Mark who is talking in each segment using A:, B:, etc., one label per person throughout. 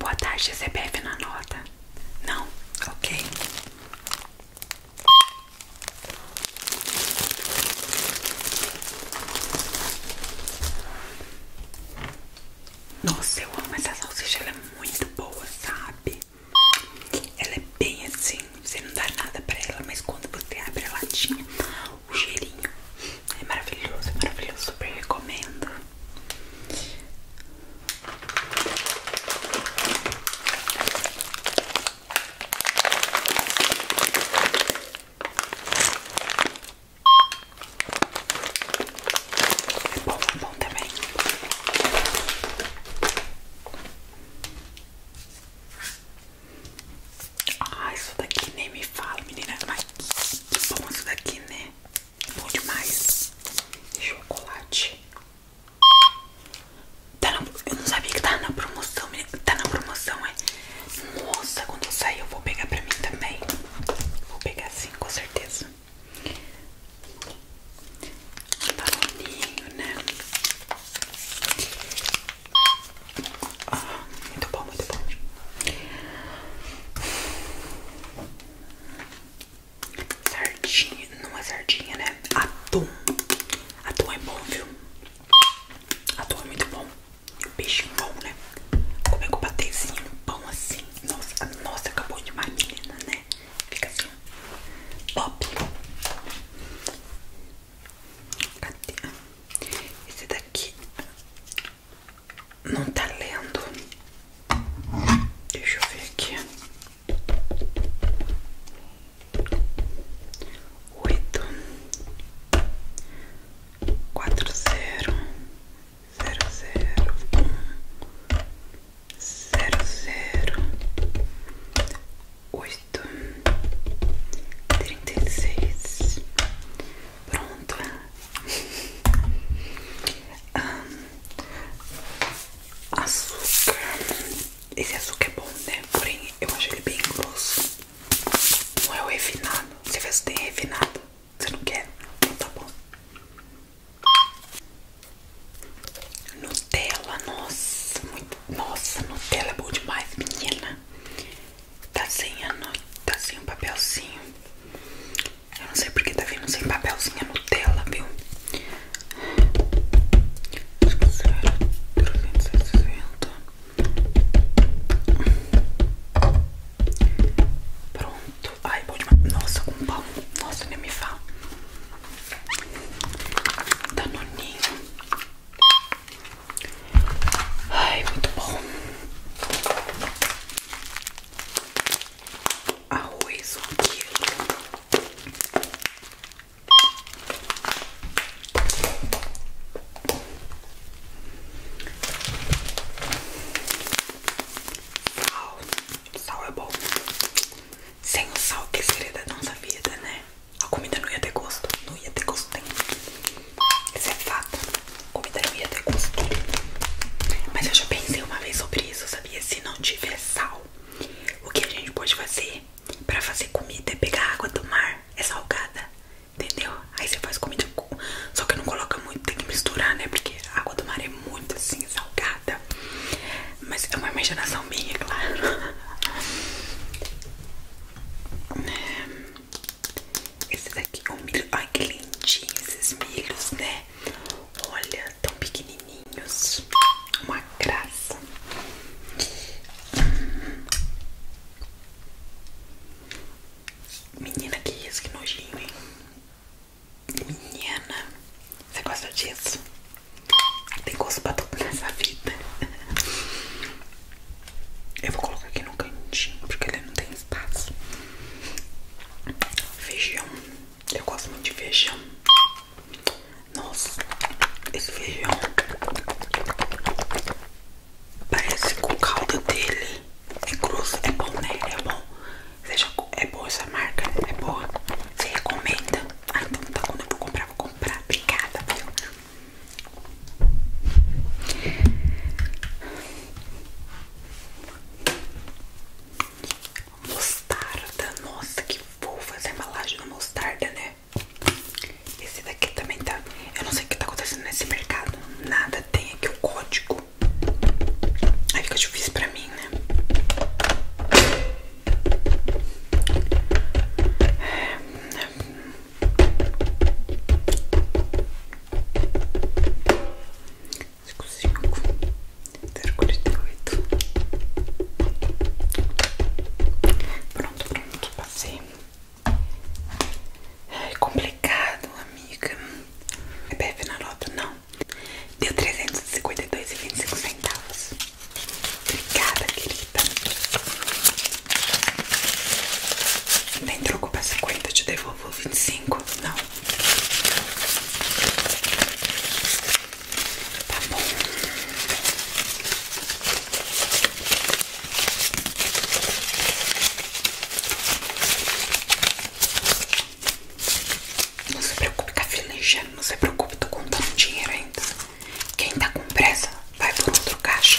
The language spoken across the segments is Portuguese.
A: Boa tarde, bebe na nota. Não, ok. Nossa, eu amo essa salsicha, ela é muito boa, sabe? Ela é bem assim, você não dá nada pra ela, mas quando você abre a latinha, o cheirinho é maravilhoso, é maravilhoso, super recomendo. É bom, é bom também. Ah, isso daqui nem me fala, menina. Mas que bom isso daqui, né? Bom demais. Chocolate. Tá eu não sabia que tá na promoção. Tá na promoção, é? Nossa, quando eu sair eu vou pegar pra mim também. Vou pegar sim, com certeza. Um balãozinho, né? Ah, muito bom, muito bom. Sardinha, não é sardinha, né? Atum. Atum é bom, viu? Atum é muito bom. O Peixinho bom, né? Como é que Comer com no pão assim. Nossa, nossa, acabou de uma menina, né? Fica assim. Pop. Cadê? Esse daqui não tá lendo. Deixa eu ver aqui. Oito quatro zero zero zero um zero zero oito trinta e seis pronto. Um, açúcar. Esse açúcar é bom, né? Porém, eu acho ele bem grosso. Não é o refinado. Você vê se tem refinado. Você não quer? Então tá bom. Nutella, nossa, nossa, Nutella é bom demais, menina. Tá sem, a, tá sem o papelzinho. Eu não sei porque tá vindo sem papelzinha é Nutella, viu? Acho que 0, 360. Pronto. Ai, bom demais. Nossa, com pão. Nossa, nem me fala. Danoninho. Ai, muito bom arroz, um quilo. Sal, sal é bom. Sem o sal que seria da nossa vida, né? A comida não ia ter gosto, não ia ter gosto nenhum. Isso é fato comida não ia até gosto. Mas eu já pensei uma vez sobre isso, sabia? Se não tiver sal, o que a gente pode fazer para fazer comida é pegar água do mar, é salgada, entendeu? Aí você faz comida com. Só que não coloca muito, tem que misturar, né? Porque água do mar é muito assim, salgada. Mas é uma imaginação minha, claro. Esse daqui é um milho. Ai, que lindinho esses milhos, né? Olha, tão pequenininhos. Uma graça. Menina, que isso, que nojinho, hein? Menina, você gosta disso? Tem gosto pra tudo nessa vida. Eu vou colocar aqui no cantinho, porque ele não tem espaço. Feijão. Eu gosto muito de feijão. Nossa, esse feijão parece com o caldo dele é grosso, é bom, né? É bom. Seja, é boa essa marca, né? é boa. Você recomenda? Ah, então tá. Quando eu vou comprar, vou comprar. Obrigada, Mostarda, nossa que fofa essa embalagem da mostarda, né? Esse daqui também tá. Eu não sei o que tá acontecendo nesse mercado. Nada tem aqui o código. Aí fica difícil pra mim, né? Acho que 5 048 Pronto, pronto, passei É complicado, amiga é bebe na nota? Não Deu 352,25 centavos Obrigada, querida Não tem troco pra 50, eu te devolvo 25 Não Tá bom. Não se preocupe, tá filejando. Não se preocupe, tô contando dinheiro ainda. Quem tá com pressa, vai por outro caixa.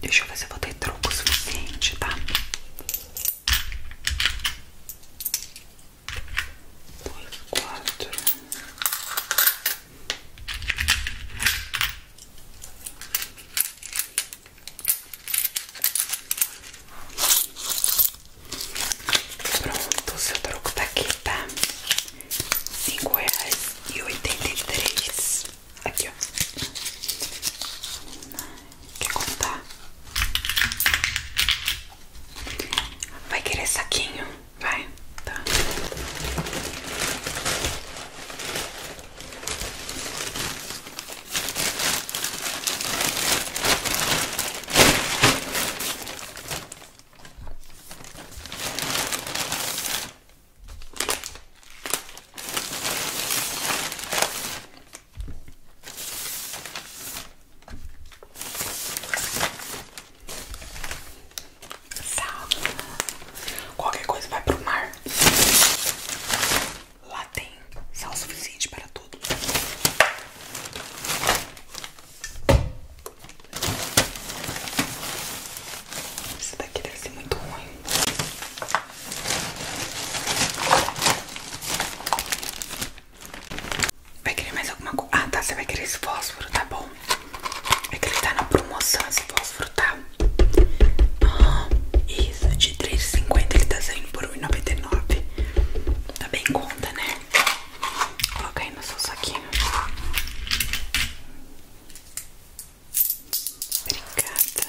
A: Deixa eu ver se vou ter troco suficiente, tá? Pronto, seu troco tá aqui, tá? Cinco reais e oitenta e três. Aqui, ó. Quer contar? Vai querer saquinho? Vai, tá. Sal. Qualquer coisa vai pro mar. Lá tem sal suficiente para tudo. Isso daqui deve ser muito ruim. Vai querer mais alguma coisa? Ah, tá. Você vai querer esse fósforo, tá bom? É que ele tá na promoção, esse fósforo, tá? Ah, isso, de R$3,50 ele tá saindo por R$1,99. Tá bem conta, né? Coloquei no seu saquinho. Obrigada.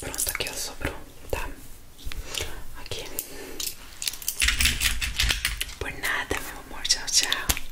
A: Pronto, aqui eu sobrou, tá? Aqui. Por nada, meu amor. Tchau, tchau.